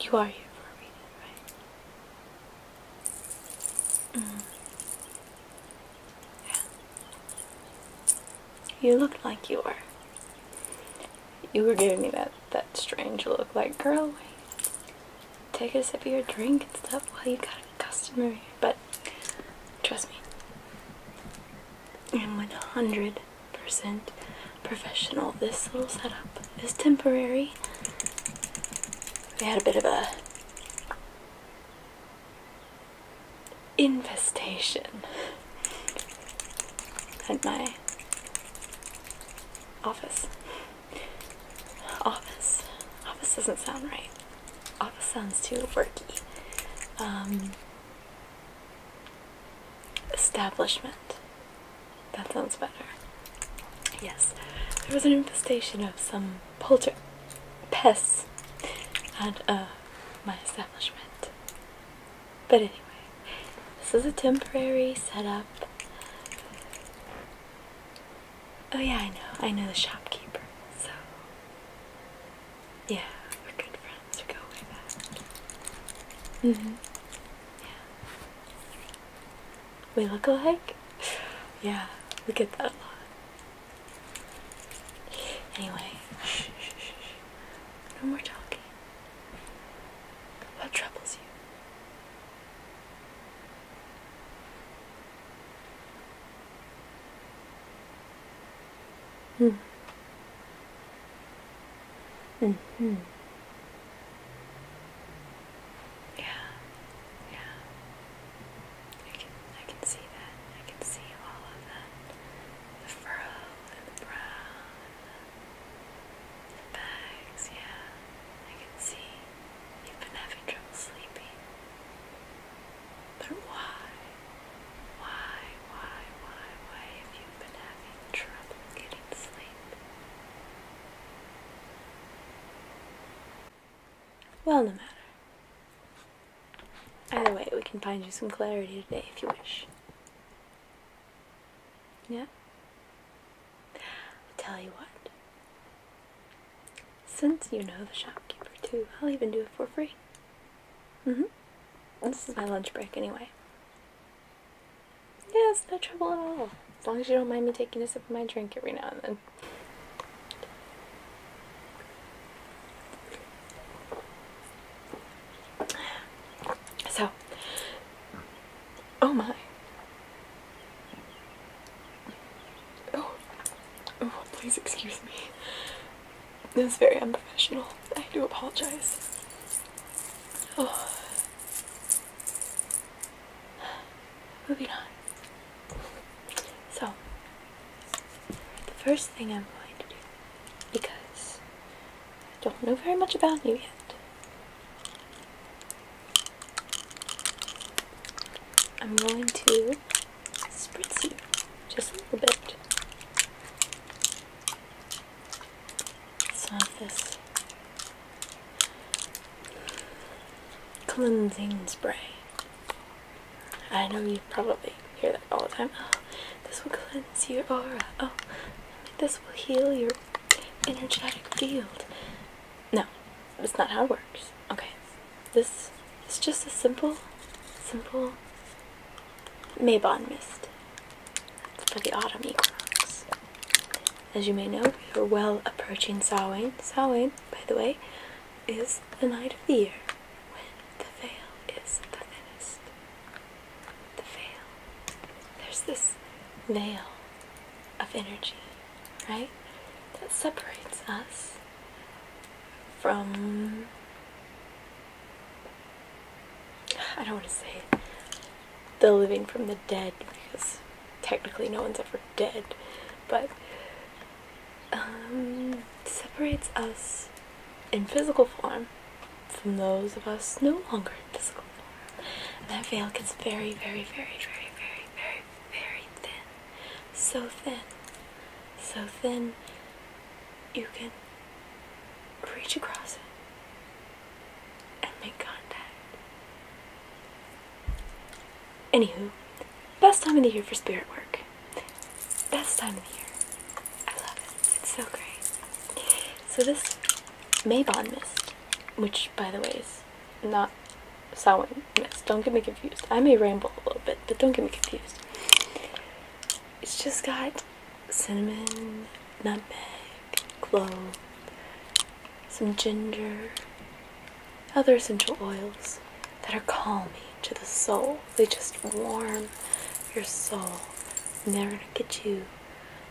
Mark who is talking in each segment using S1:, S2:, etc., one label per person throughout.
S1: You are here for a reason, right? -hmm. Yeah. You looked like you were. You were giving me that, that strange look, like, girl, Take a sip of your drink and stuff while you got a customer But trust me, i am 100% professional. This little setup is temporary. We had a bit of a infestation at my office. Office. Office doesn't sound right. Office sounds too worky. Um, Establishment. That sounds better. Yes, there was an infestation of some polter pests at uh, my establishment. But anyway, this is a temporary setup. Oh yeah, I know. I know the shopkeeper. So yeah, we're good friends. We go way back. hmm Yeah. We look alike? Yeah, we get that a lot. Anyway, shh, shh, shh, shh. No more talking. What troubles you? Mm. hmm. Yeah. Yeah. I can I can see that. I can see all of that. The furrow and the brow the bags, yeah. I can see you've been having trouble sleeping. But why? Why, why, why, why have you been having trouble getting sleep? Well, no matter. Either way, we can find you some clarity today if you wish. Yeah? tell you what. Since you know the shopkeeper too, I'll even do it for free. Mm-hmm. This is my lunch break anyway. Yeah, it's no trouble at all. As long as you don't mind me taking a sip of my drink every now and then. So, oh my. Oh, oh, please excuse me. This is very unprofessional. I do apologize. Oh. Moving on. So, the first thing I'm going to do, because I don't know very much about you yet, I'm going to spritzy, just a little bit. of this cleansing spray. I know you probably hear that all the time. Oh, this will cleanse your aura. Oh, this will heal your energetic field. No, it's not how it works. Okay. This is just a simple, simple Maybon mist for the autumn equinox. As you may know, we are well approaching Samhain. Samhain, by the way, is the night of the year when the veil is the thinnest. The veil. There's this veil of energy, right? That separates us from I don't want to say the living from the dead because technically no one's ever dead, but um, separates us in physical form from those of us no longer in physical form. that veil gets very, very, very, very, very, very, very thin. So thin so thin you can reach across it and make contact. Anywho, best time of the year for spirit work. Best time of the year. I love it. It's so great. So this Maybon mist, which by the way is not sewing mess. Don't get me confused. I may ramble a little bit, but don't get me confused. It's just got cinnamon, nutmeg, clove, some ginger, other essential oils that are calming to the soul. They just warm your soul. And they're going to get you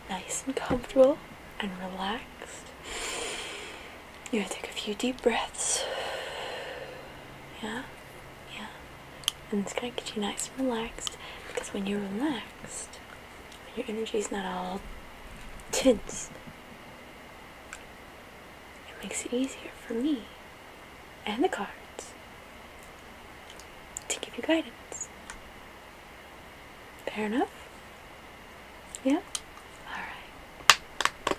S1: nice and comfortable and relaxed. You're to take a few deep breaths. Yeah, yeah. And it's gonna get you nice and relaxed because when you're relaxed, your energy's not all tense. It makes it easier for me and the cards to give you guidance. Fair enough? Yeah? Alright.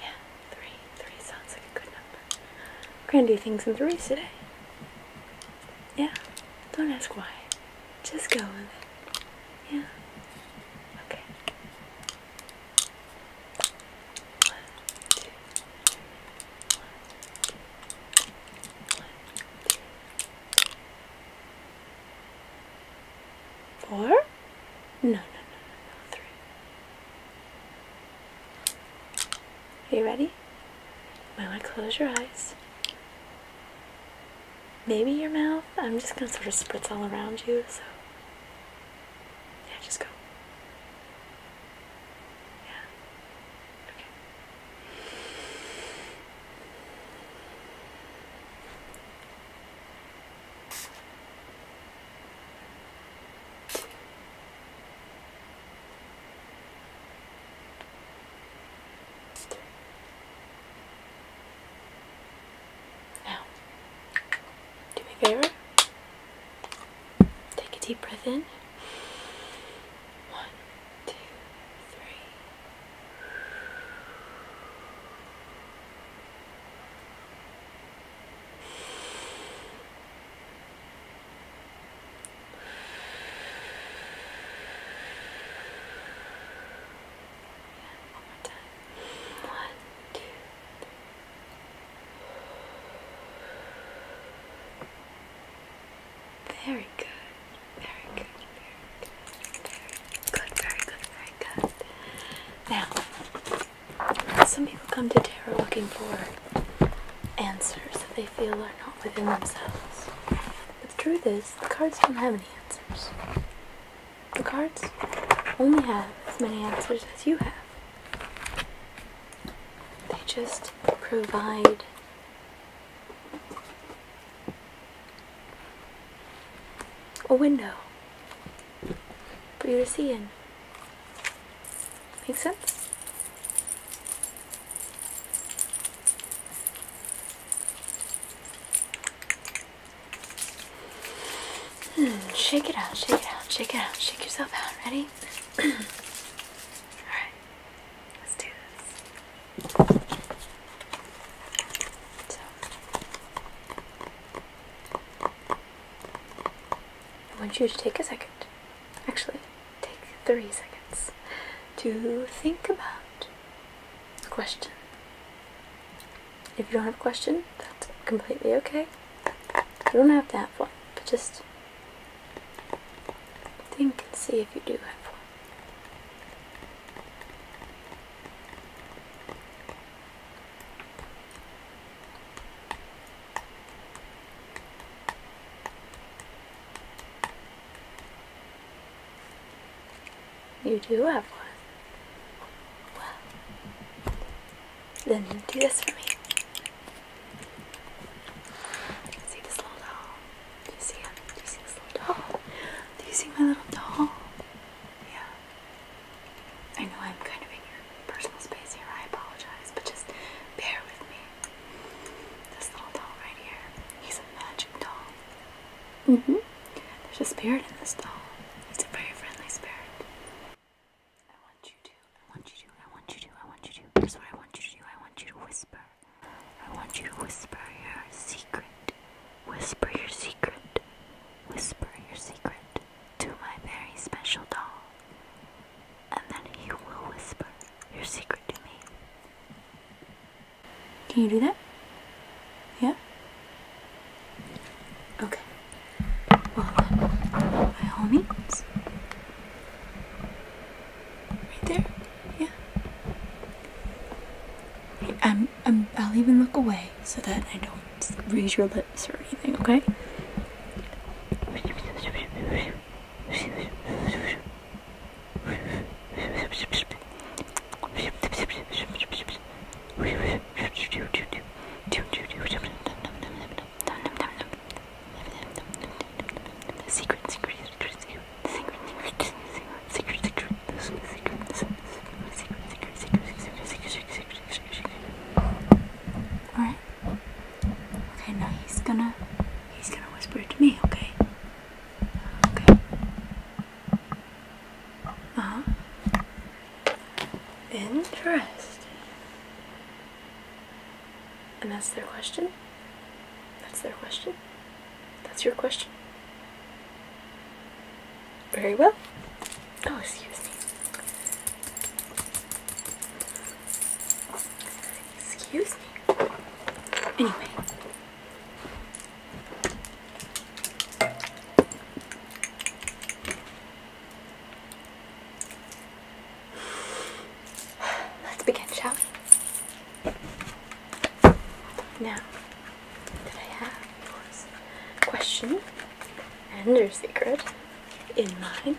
S1: Yeah, three. Three sounds like a good number. We're gonna do things in threes today. Yeah, don't ask why. Just go with it. Yeah. Okay. One, two, one, two, one, two, Four? No, no, no, no, no. Three. Are you ready? May I close your eyes. Maybe your mouth. I'm just going to sort of spritz all around you, so. Yeah, just go. Yeah. Okay. Now, do me a favor. Take a deep breath in. One, two, three. One more time. One, two, three. Very good. Very good. Very good. Very good. Very good. Very good. Now some people come to tarot looking for answers that they feel are not within themselves. But the truth is, the cards don't have any answers. The cards only have as many answers as you have. They just provide a window for you to see in. Make sense? Hmm, shake it out, shake it out, shake it out, shake yourself out. Ready? Alright, let's do this. I want you to take a second, actually, take three seconds to think about the question. If you don't have a question, that's completely okay. You don't have to have one, but just think and see if you do have one. You do have one. Well, then do this for me. See this little doll? Do you see him? Do you see this little doll? Do you see my little doll? Yeah. I know I'm kind of in your personal space here, I apologize, but just bear with me. This little doll right here, he's a magic doll. Mm hmm. There's a spirit in this doll, it's a very friendly spirit. I want you to, I want you to, I want you to, I want you to. Here's what I want you to do I want you to whisper. I want you to whisper your secret. Whisper your secret. Whisper your secret to my very special doll, and then you will whisper your secret to me. Can you do that? Yeah? Okay. Well, then, by all Right there? Yeah. Hey, um, i will even look away so that I don't raise your lips or anything, okay? shake, shake, Alright. Okay, now he's gonna he's gonna whisper it to me, okay? Okay. Uh-huh. Interesting. And that's their question? That's their question? That's your question? Very well. Oh, excuse me. Excuse me. Anyway. Let's begin, shall we? Now, did I have your question? and your secret in mind.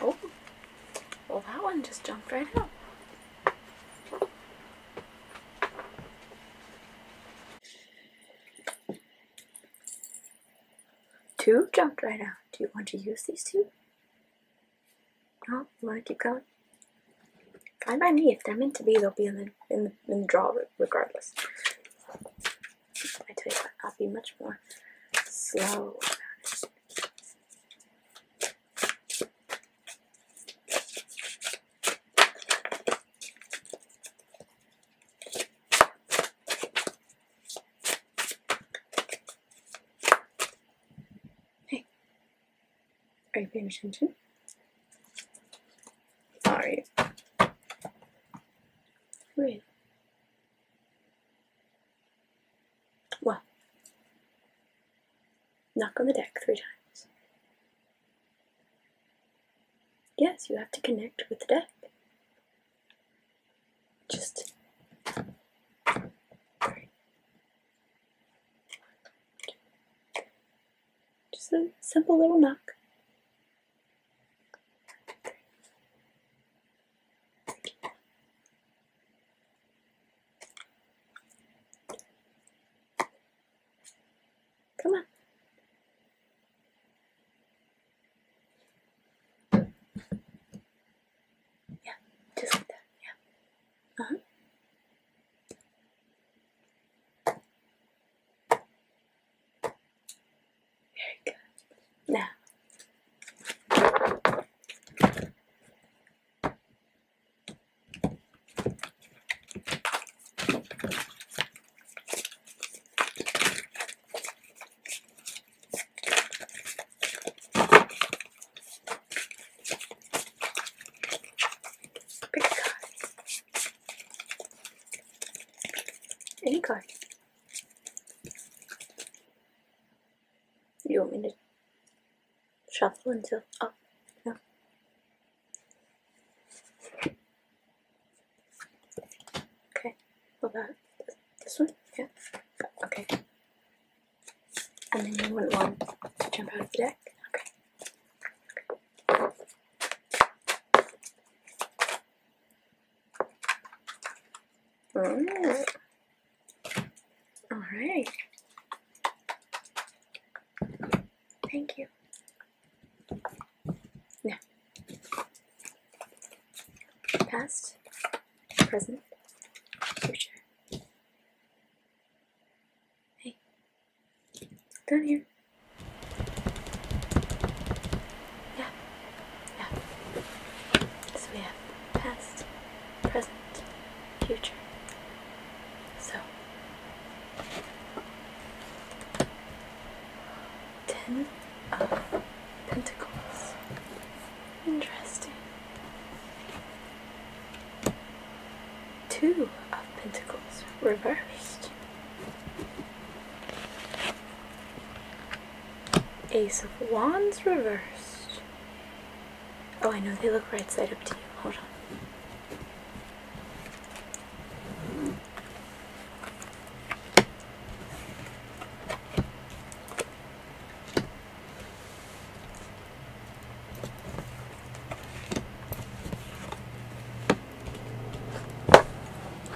S1: Oh, well that one just jumped right out. Two jumped right out. Do you want to use these two? No? You want to keep going? Fine by me. If they're meant to be, they'll be in the, in the, in the draw regardless. I tell you I'll be much more slow Hey, are you paying attention? Are you? Really? knock on the deck three times. Yes, you have to connect with the deck. Just Just a simple little knock. Come on. Yeah, just that. Yeah. uh Very good. Now Pick a card. Any card. You want me to shuffle until? Oh, no. Okay, what about this one? Yeah. Okay. And then you wouldn't want to jump out of the deck? Okay. Alright. Alright. Thank you. Now, past, present, future. Hey, down here. Yeah, yeah. So we have past, present, future. So. Ten of Pentacles. Interesting. Two of Pentacles reversed. Ace of Wands reversed. Oh, I know, they look right side up to you. Hold on.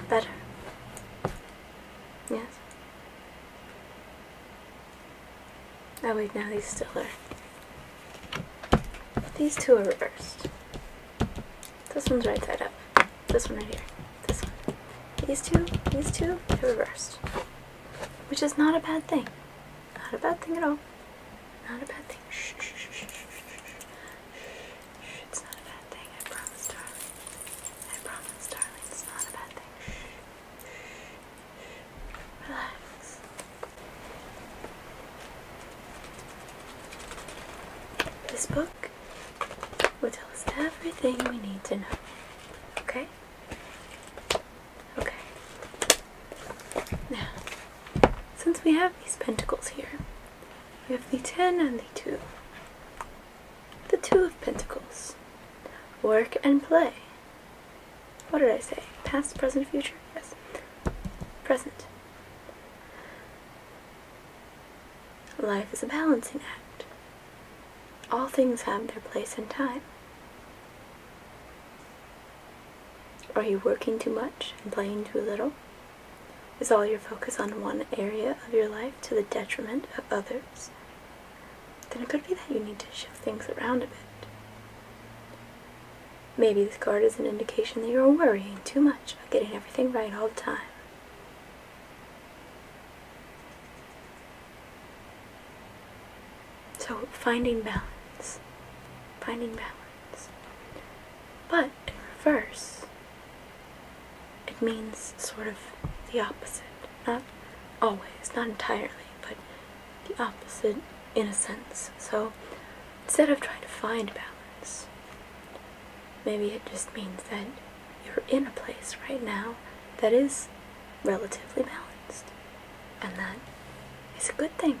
S1: Better. Yes. Oh wait, now these still are. These two are reversed. This one's right side up. This one right here. This one. These two, these 2 they're reversed. Which is not a bad thing. Not a bad thing at all. Not a bad thing. It's not a bad thing. I promise, darling. I promise, darling. It's not a bad thing. Relax. This book will tell us everything we need to know. Okay? Okay. Now, since we have these pentacles here, we have the 10 and the 2. The 2 of pentacles. Work and play. What did I say? Past, present, future? Yes. Present. Life is a balancing act. All things have their place and time. Are you working too much and playing too little? Is all your focus on one area of your life to the detriment of others? Then it could be that you need to shift things around a bit. Maybe this card is an indication that you're worrying too much about getting everything right all the time. So, finding balance. Finding balance. But, in reverse, it means sort of the opposite. Not always, not entirely, but the opposite in a sense. So instead of trying to find balance, maybe it just means that you're in a place right now that is relatively balanced. And that is a good thing.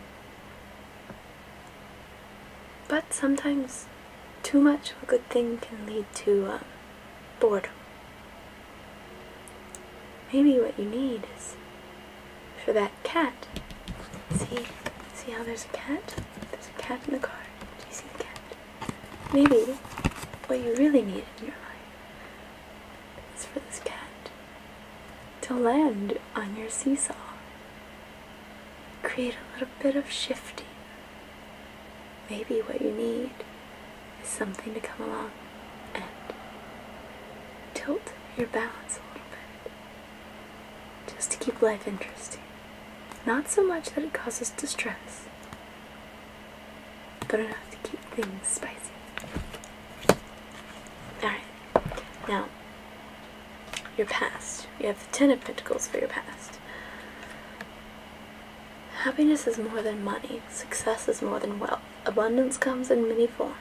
S1: But sometimes too much of a good thing can lead to um, boredom. Maybe what you need is for that cat. See, see how there's a cat? There's a cat in the car. Do you see the cat? Maybe what you really need in your life is for this cat to land on your seesaw. Create a little bit of shifting. Maybe what you need is something to come along and tilt your balance a little bit just to keep life interesting. Not so much that it causes distress, but enough to keep things spicy. Alright, now your past. You have the Ten of Pentacles for your past. Happiness is more than money, success is more than wealth. Abundance comes in many forms.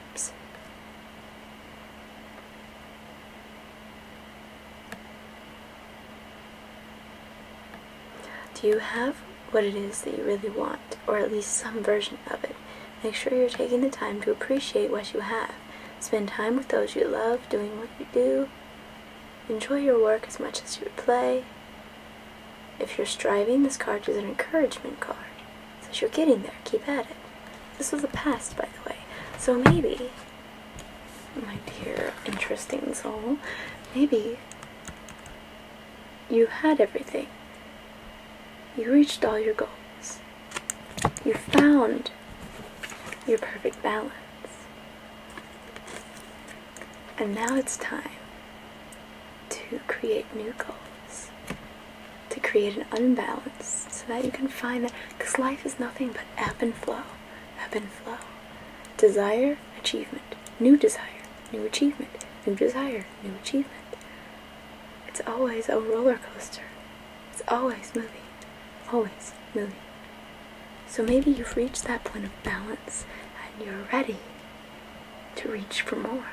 S1: Do you have what it is that you really want, or at least some version of it? Make sure you're taking the time to appreciate what you have. Spend time with those you love, doing what you do. Enjoy your work as much as you would play. If you're striving, this card is an encouragement card. It says you're getting there, keep at it. This was the past, by the way. So maybe, my dear interesting soul, maybe you had everything. You reached all your goals. You found your perfect balance. And now it's time to create new goals, to create an unbalance so that you can find that. Because life is nothing but ebb and flow, ebb and flow. Desire, achievement, new desire, new achievement, new desire, new achievement. It's always a roller coaster. It's always moving, always moving. So maybe you've reached that point of balance and you're ready to reach for more.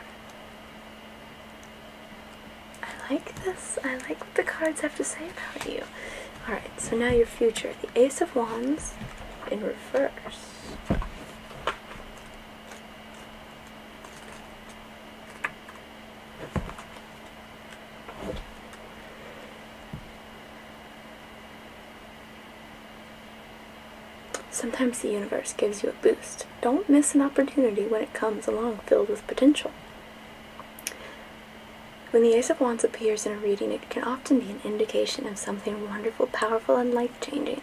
S1: I like this. I like what the cards have to say about you. Alright, so now your future. The Ace of Wands in reverse. Sometimes the universe gives you a boost. Don't miss an opportunity when it comes along filled with potential. When the Ace of Wands appears in a reading, it can often be an indication of something wonderful, powerful, and life-changing.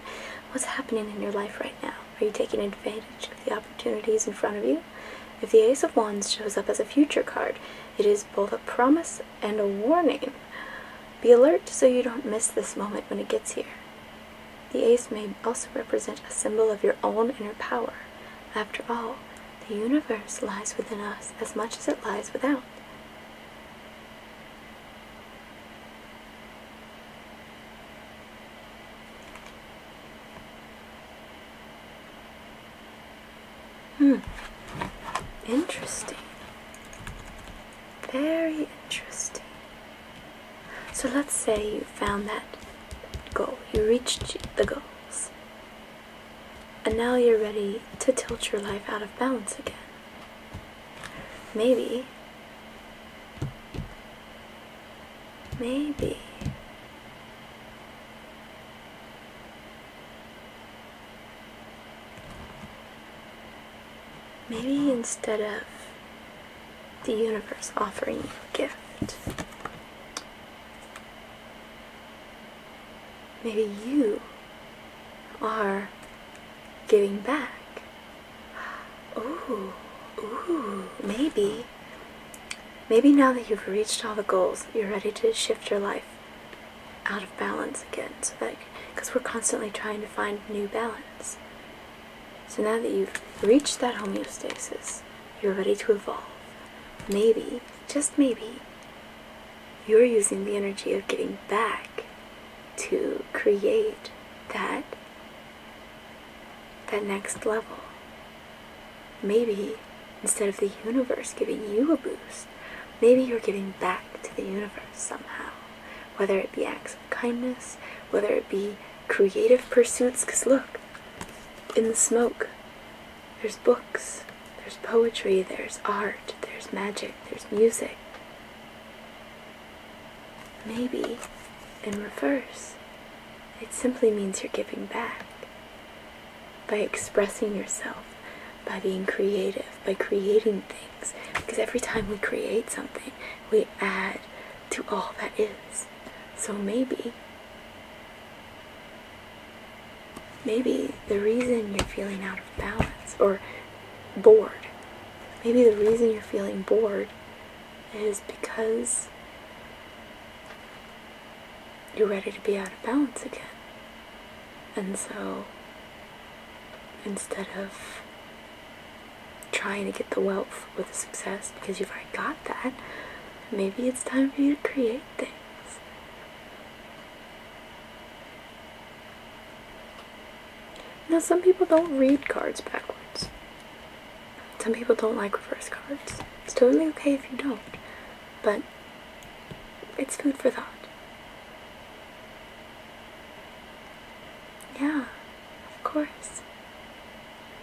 S1: What's happening in your life right now? Are you taking advantage of the opportunities in front of you? If the Ace of Wands shows up as a future card, it is both a promise and a warning. Be alert so you don't miss this moment when it gets here. The ace may also represent a symbol of your own inner power. After all, the universe lies within us as much as it lies without. Hmm. Interesting. Very interesting. So let's say you found that goal, you reached the goals, and now you're ready to tilt your life out of balance again. Maybe, maybe. Maybe instead of the universe offering you a gift, maybe you are giving back. Ooh, ooh, maybe. Maybe now that you've reached all the goals, you're ready to shift your life out of balance again. So because we're constantly trying to find new balance. So now that you've reached that homeostasis, you're ready to evolve. Maybe, just maybe, you're using the energy of getting back to create that that next level. Maybe instead of the universe giving you a boost, maybe you're giving back to the universe somehow, whether it be acts kindness, whether it be creative pursuits, because look, in the smoke, there's books, there's poetry, there's art, there's magic, there's music. Maybe in reverse, it simply means you're giving back by expressing yourself, by being creative, by creating things because every time we create something, we add to all that is. So maybe, maybe the reason you're feeling out of balance or bored, maybe the reason you're feeling bored is because you're ready to be out of balance again. And so instead of trying to get the wealth with the success because you've already got that. Maybe it's time for you to create things. Now, some people don't read cards backwards. Some people don't like reverse cards. It's totally okay if you don't, but it's food for thought. Yeah, of course.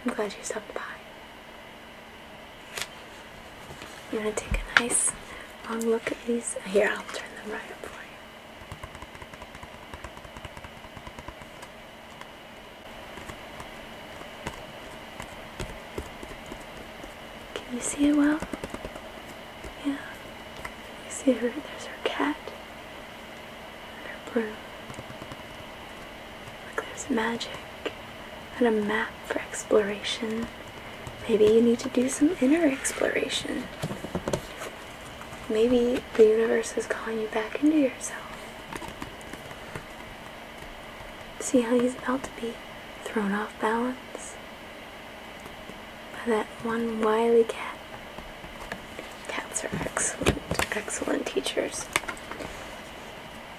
S1: I'm glad you stopped by. I'm gonna take a nice long look at these. Here, I'll turn them right up for you. Can you see it well? Yeah. You see her? There's her cat. And her broom. Look, there's magic. And a map for exploration. Maybe you need to do some inner exploration. Maybe the universe is calling you back into yourself. See how he's about to be thrown off balance by that one wily cat. Cats are excellent, excellent teachers.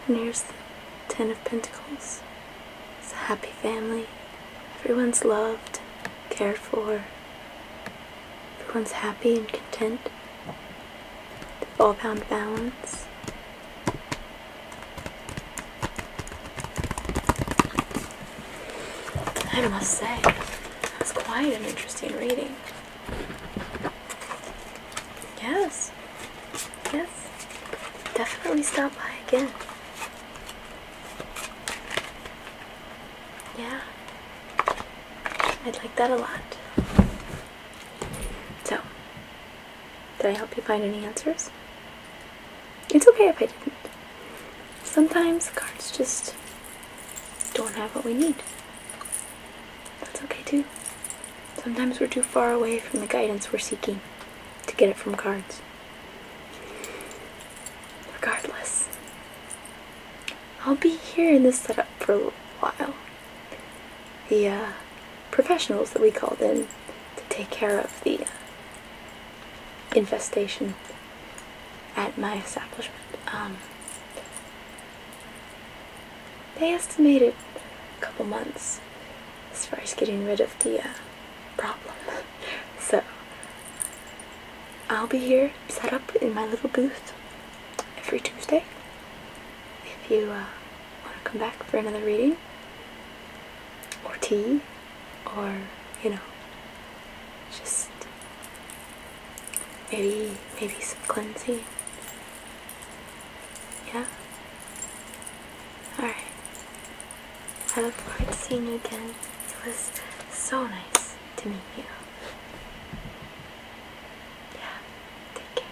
S1: And here's the Ten of Pentacles. It's a happy family. Everyone's loved, cared for. Everyone's happy and content. They all found balance. I must say, that's quite an interesting reading. Yes, yes, definitely stop by again. Yeah, I'd like that a lot. So, did I help you find any answers? It's okay if I didn't. Sometimes cards just don't have what we need. That's okay too. Sometimes we're too far away from the guidance we're seeking to get it from cards. Regardless, I'll be here in this setup for a while. The uh, professionals that we called in to take care of the uh, infestation at my establishment. Um, they estimated a couple months as far as getting rid of the uh, problem. so I'll be here set up in my little booth every Tuesday. If you uh, want to come back for another reading or tea or you know just maybe maybe some cleansing yeah all right I look forward to seeing you again it was so nice to meet you yeah take care